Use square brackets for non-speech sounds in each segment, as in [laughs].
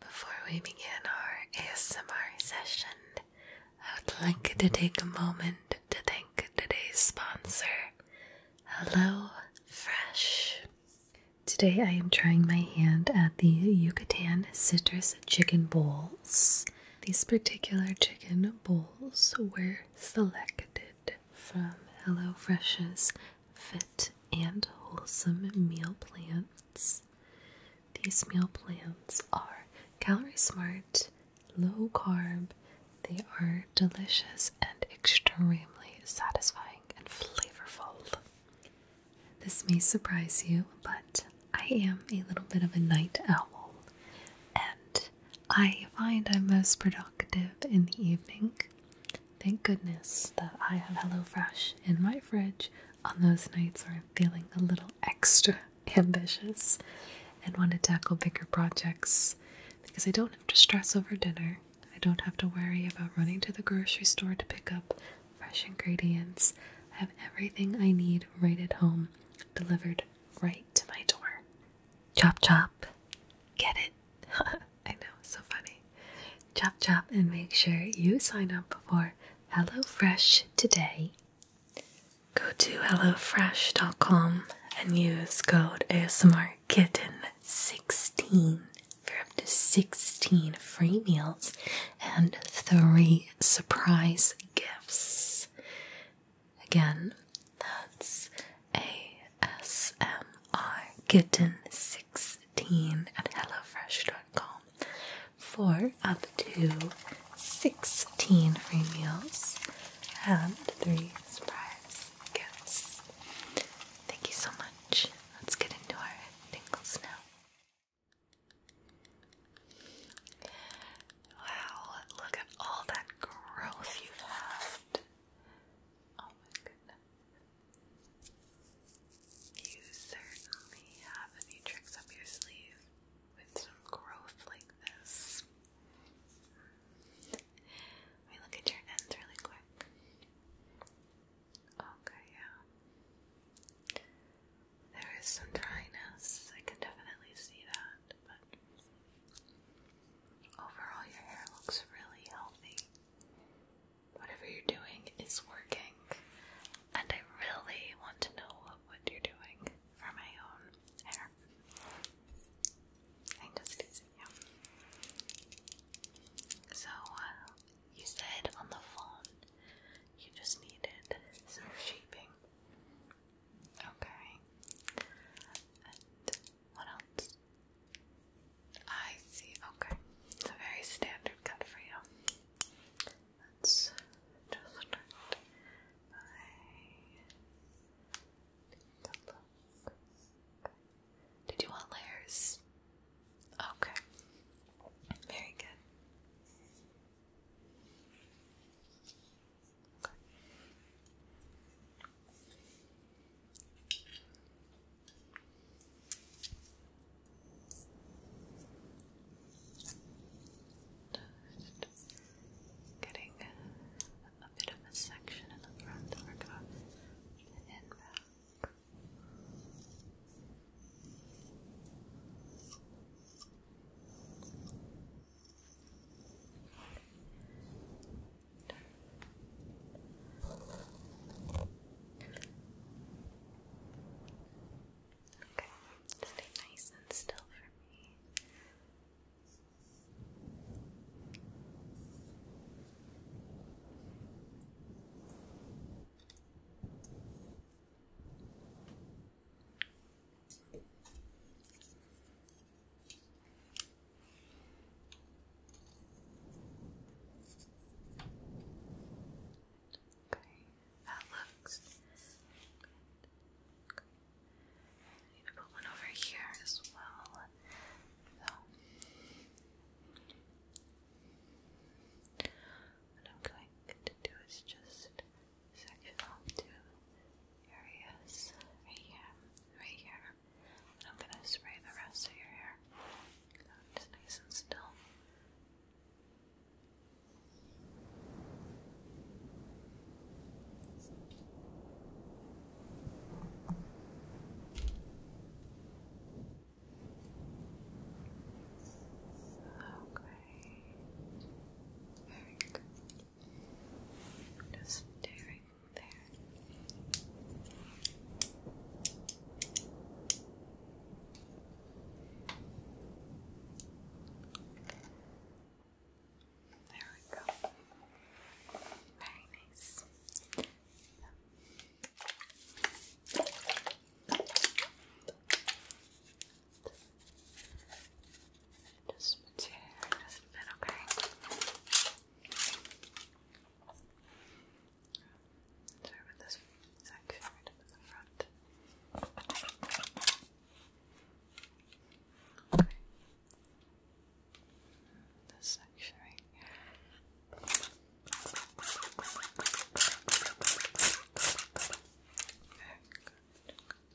Before we begin our ASMR session, I would like to take a moment to thank today's sponsor, Hello Fresh. Today I am trying my hand at the Yucatan Citrus Chicken Bowls. These particular chicken bowls were selected selected from HelloFresh's Fit and Wholesome Meal Plans. These meal plans are calorie smart, low carb, they are delicious and extremely satisfying and flavorful. This may surprise you, but I am a little bit of a night owl, and I find I'm most productive in the evening. Thank goodness that I have HelloFresh in my fridge on those nights where I'm feeling a little extra [laughs] ambitious and want to tackle bigger projects because I don't have to stress over dinner. I don't have to worry about running to the grocery store to pick up fresh ingredients. I have everything I need right at home, delivered right to my door. Chop chop. Get it? [laughs] I know, so funny. Chop chop and make sure you sign up for HelloFresh today. Go to HelloFresh.com and use code ASMRKitten16 for up to 16 free meals and 3 surprise gifts. Again, that's ASMR Kitten 16 at HelloFresh.com for up to 16 free meals and 3 surprise gifts. Thank you so much. Let's get into our tingles now. Wow, look at all that growth you've had. Oh my goodness. You certainly have a few tricks up your sleeve with some growth like this. Let me look at your ends really quick. Okay, yeah. There is some dryness. I can definitely see that, but Overall, your hair looks really healthy. Whatever you're doing is working, and I really want to know what you're doing for my own hair. I think that's easy, yeah. So, uh, you said on the phone you just needed some shaping. Okay. And what else? I see, okay. It's a very standard cut for you. let just start look. Did you want layers? Okay. Very good. Just getting a bit of a section in the front that we're back. Okay, stay nice and still for me. Okay, that looks good. good. I need to put one over here as well. what I'm going to do is just section off two areas right here, right here, and I'm gonna spray the rest of your hair. Just nice and still. Okay. Very good. Just staring there. There we go. Very nice. Just put your hair just a bit, okay? Start with this section right in the front. This section Okay,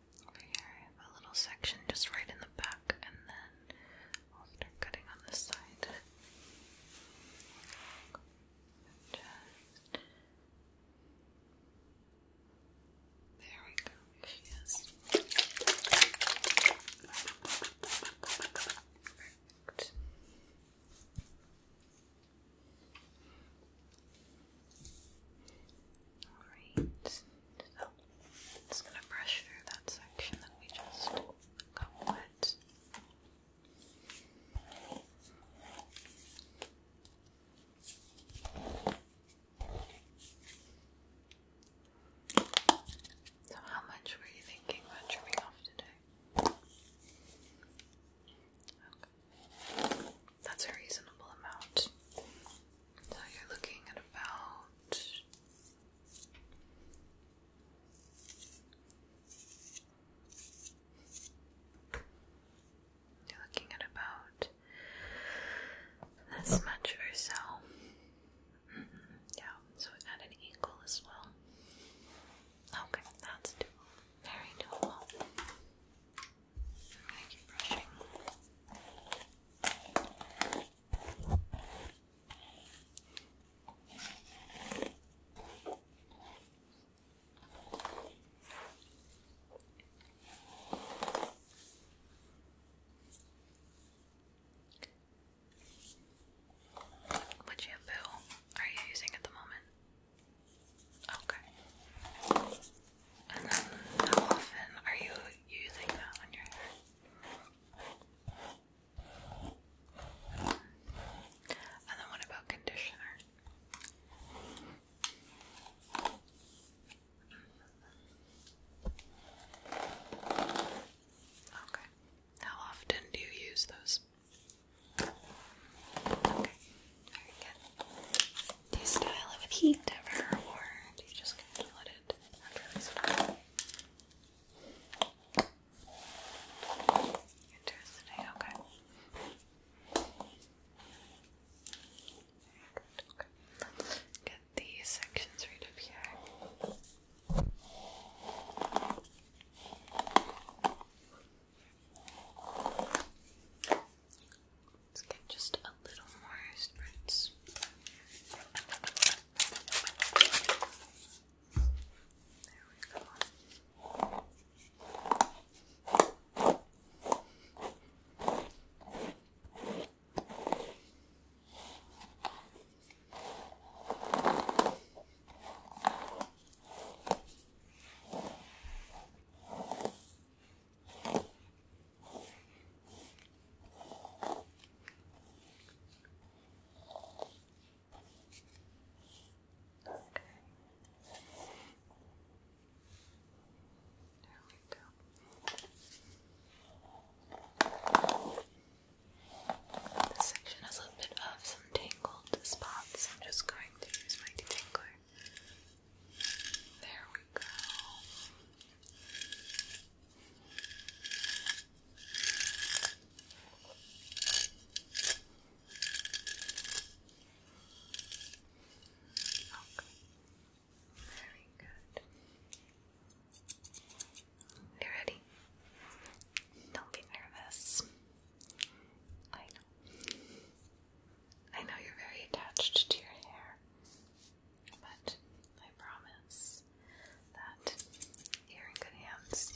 over here I have a little section just right in the back and then i cutting on this side there we go, there she is perfect Alright. So, just going to brush through that section that we just got wet. So, how much were you thinking about trimming off today? That's a reasonable amount. So you're looking at about you're looking at about this much or so. Mm-hmm. Yeah, so at an angle as well. Okay, that's doable. Very doable. I What shampoo are you using at the moment? Okay. And then, how often are you using that on your hair? And then, what about conditioner? Okay. How often do you use those? Okay. Very good. Do you style it with heat ever, or do you just kind of let it naturally this? Interesting, okay. get these sections right up here. Let's get just a little more spritz. There we go. There we go. This section has a little bit of some tangled spots. I'm just going to use my detangler there we go. Okay. Very good. You ready? Don't get nervous. I know. I know you're very attached to your hair, but I promise that you're in good hands.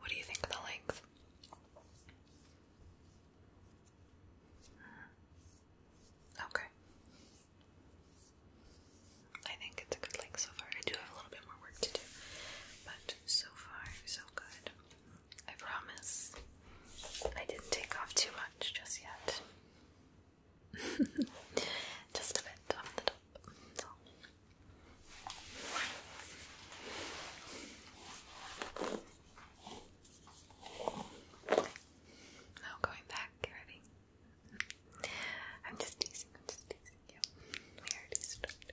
What do you think of the length? Okay. I think it's a good length so far. I do have a little bit more work to do, but so far, so good. I promise I didn't take off too much just yet. [laughs] just a bit So now going back, ready? I'm just teasing, I'm just teasing you. We already started.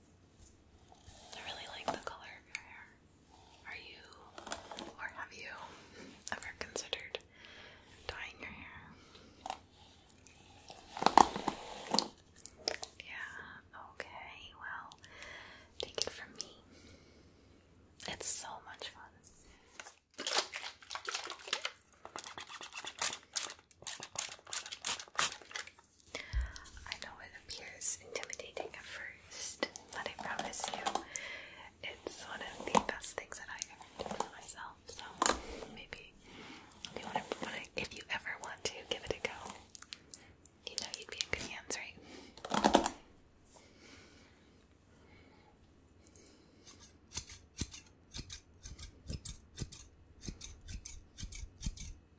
I really like the color of your hair. Are you, or have you, ever considered dyeing your hair? Yeah, okay, well, take it from me. It's so much fun. I know it appears intimidating at first, but I promise you, it's one of the best things that I ever did for myself. So maybe if you ever want to give it a go, you know you'd be in good hands, right?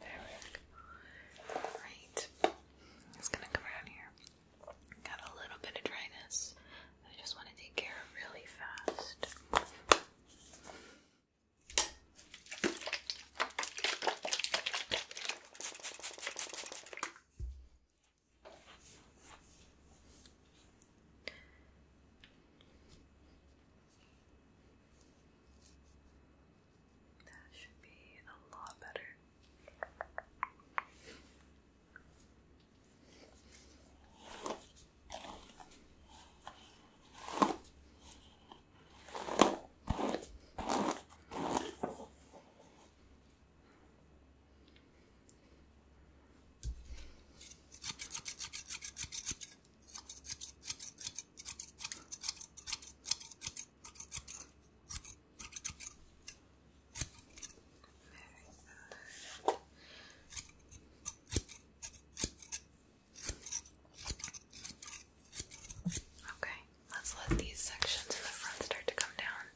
There we go. Right. It's gonna come around here. Got a little bit of dryness. I just want to take care of really fast. That should be a lot better. Okay, let's let these sections in the front start to come down.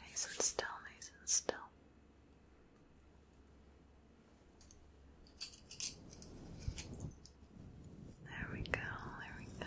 Nice and still, nice and still. There we go, there we go.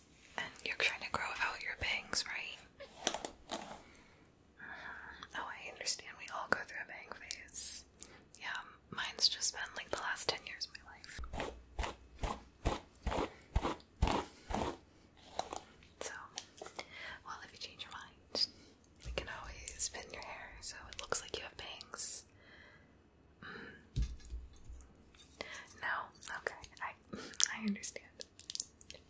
And you're trying to grow out your bangs, right? Uh-huh. Oh, I understand. We all go through a bang phase. Yeah, mine's just been like the last 10 years of my life. So, well, if you change your mind, we can always pin your hair so it looks like you have bangs. Mm. No, okay, I I understand. I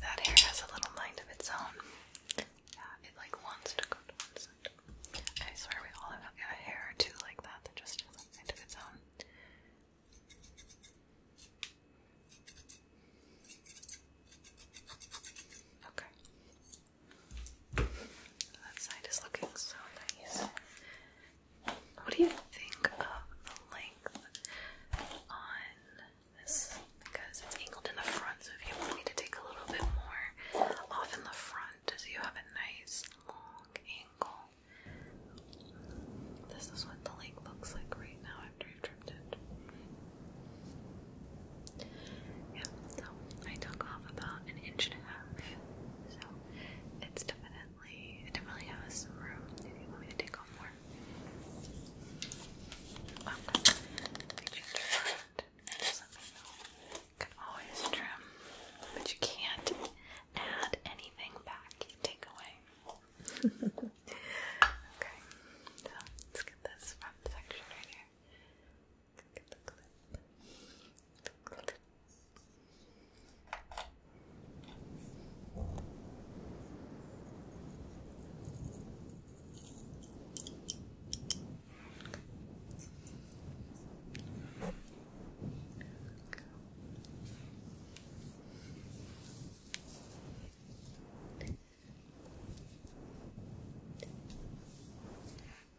that hair has a little mind of its own. Yeah, it like wants to go to one side. I swear we all have a hair or two like that that just has a its own. Okay. That side is looking so nice. What do you think of the length on this? Because it's angled in the front, so if you want me to take a little bit more off in the front, so you have a nice long angle. This is what the lake looks like right now after I've trimmed it. Yeah, so I took off about an inch and a half. So it's definitely, it definitely has some room if you want me to take off more. you um, can always trim, but you can't add anything back, take away. [laughs] okay, so let's get this front section right here. Look at the clip. The clip. Good.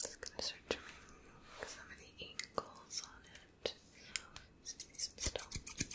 Just gonna start trimming some of the angles on it. Just be some still. Okay.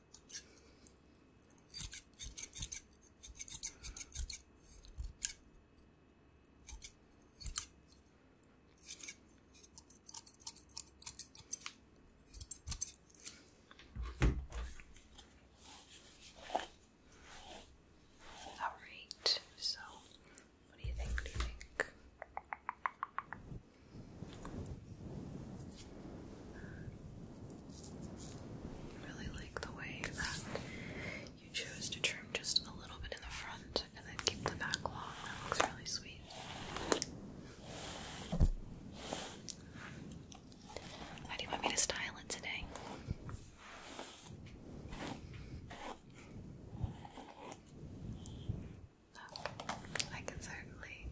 All right. So, what do you think? What I really like the way that you chose to trim just a little bit in the front and then keep the back long. That looks really sweet. How do you want me to style it today? Oh, I can certainly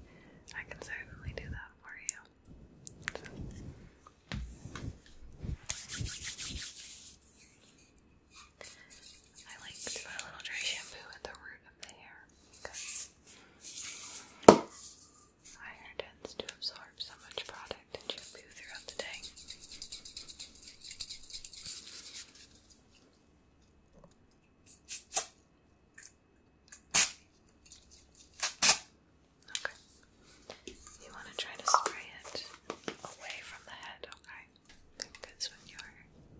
I can certainly do that for you. I like to put a little dry shampoo at the root of the hair because my hair tends to absorb so much product and shampoo throughout the day. Okay. You want to try to spray it away from the head, okay? Because when you're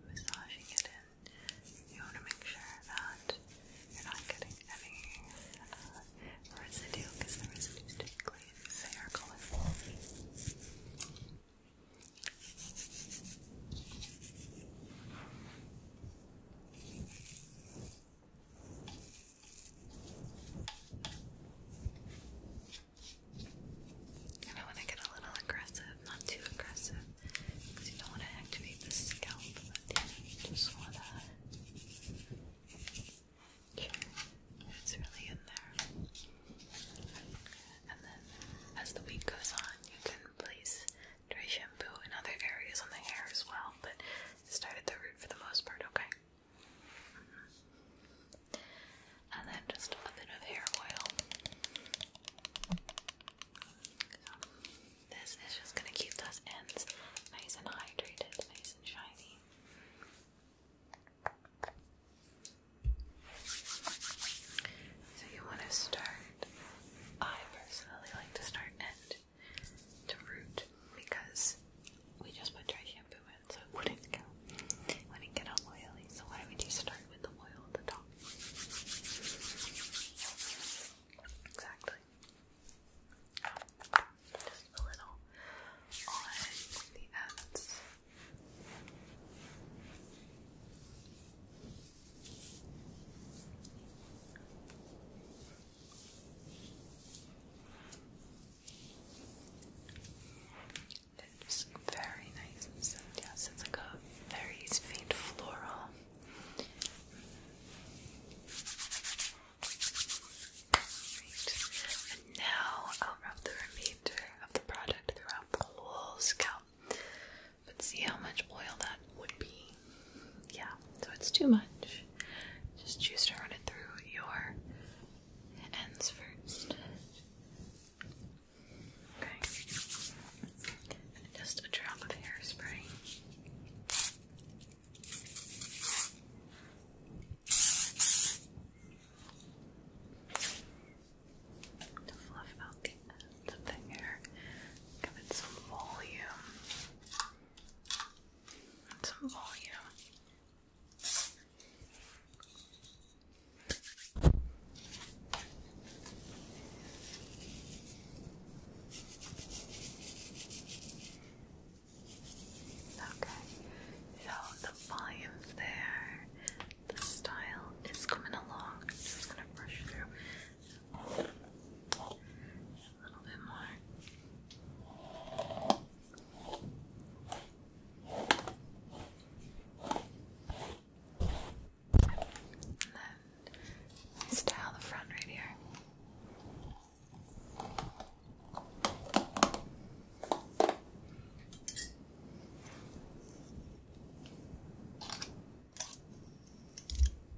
massaging it in, you want to make sure that you're not getting any uh, residue because the residue is typically fair colorful. And I want to get a little aggressive, not too aggressive, because you don't want to activate the scalp, just want to. It's really in there. And then as the week goes on, you can place dry shampoo in other areas on the hair as well, but start at the root for the most part, okay? Mm-hmm. And then just a bit of hair oil. this is just going to keep those ends nice and hydrated, nice and shiny. So you want to start, I personally like to start end to root because we just put dry shampoo in, so it wouldn't go, it would get all oily. So why don't we start with the oil at the top? Exactly. Just a little on the ends. It's very nice and so yes, it's like a very faint floral. And now I'll wrap the remainder of the product throughout the whole scalp. But see how much oil that would be yeah, so it's too much. Just choose to run it through your ends first. Okay. just a drop of hairspray. To fluff out the ends hair, give some volume some volume. Okay, so the volume's there. The style is coming along. I'm just gonna brush through a little bit more. And then style the front right here.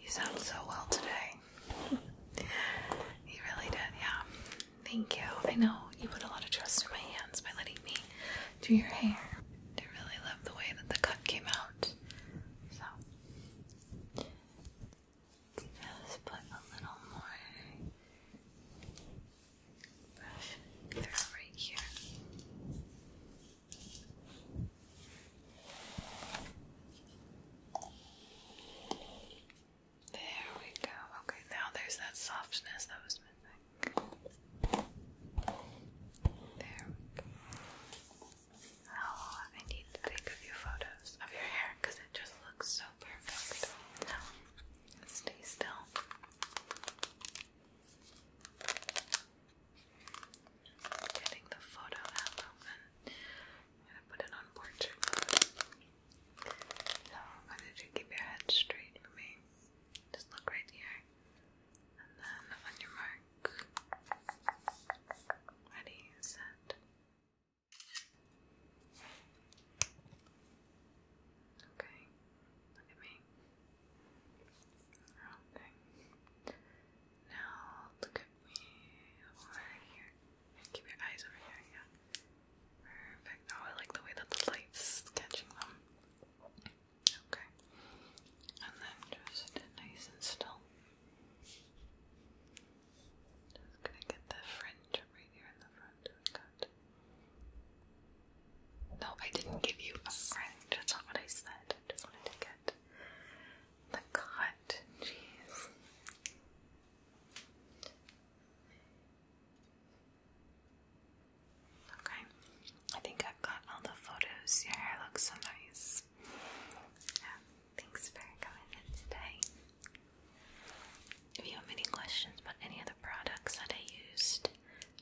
You sound so well today. You really did, yeah. Thank you. I know you put a lot of trust in my hands by letting me do your hair. I really love the way that the cut came out. So, just put a little more brush right here. There we go. Okay, now there's that softness that was missing. There Oh, I need to take a few photos of your hair because it just looks so perfect. Stay still. Getting the photo album and i gonna put it on portrait So I'm gonna keep your head straight for me. Just look right here. And then on your mark. Ready, set. Okay, look at me. Okay. Now look at me over here. Keep your eyes over here, yeah. Perfect. Oh, I like the way that the light's catching them. Okay. And then just nice and still. Just gonna get the fringe right here in the front. No, I didn't give you a friend. That's not what I said. I just wanted to get the cut. Jeez. Okay. I think I've got all the photos. Your hair looks so nice. Yeah. Thanks for coming in today. If you have any questions about any of products that I used,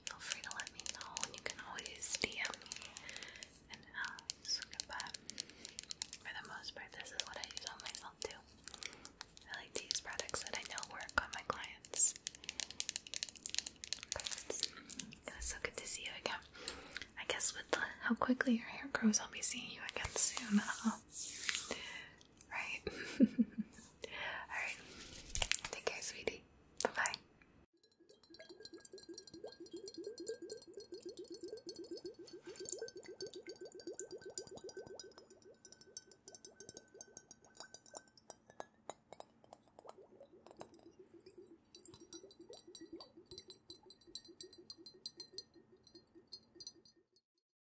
feel free to let me know, and you can always DM me and uh, ask. But for the most part, this is what I use on myself too. I like to use products that I know work on my clients. It so good to see you again. I guess with how quickly your hair grows, I'll be seeing you again soon. Uh-huh right? [laughs] Alright. Take care, sweetie. Bye bye.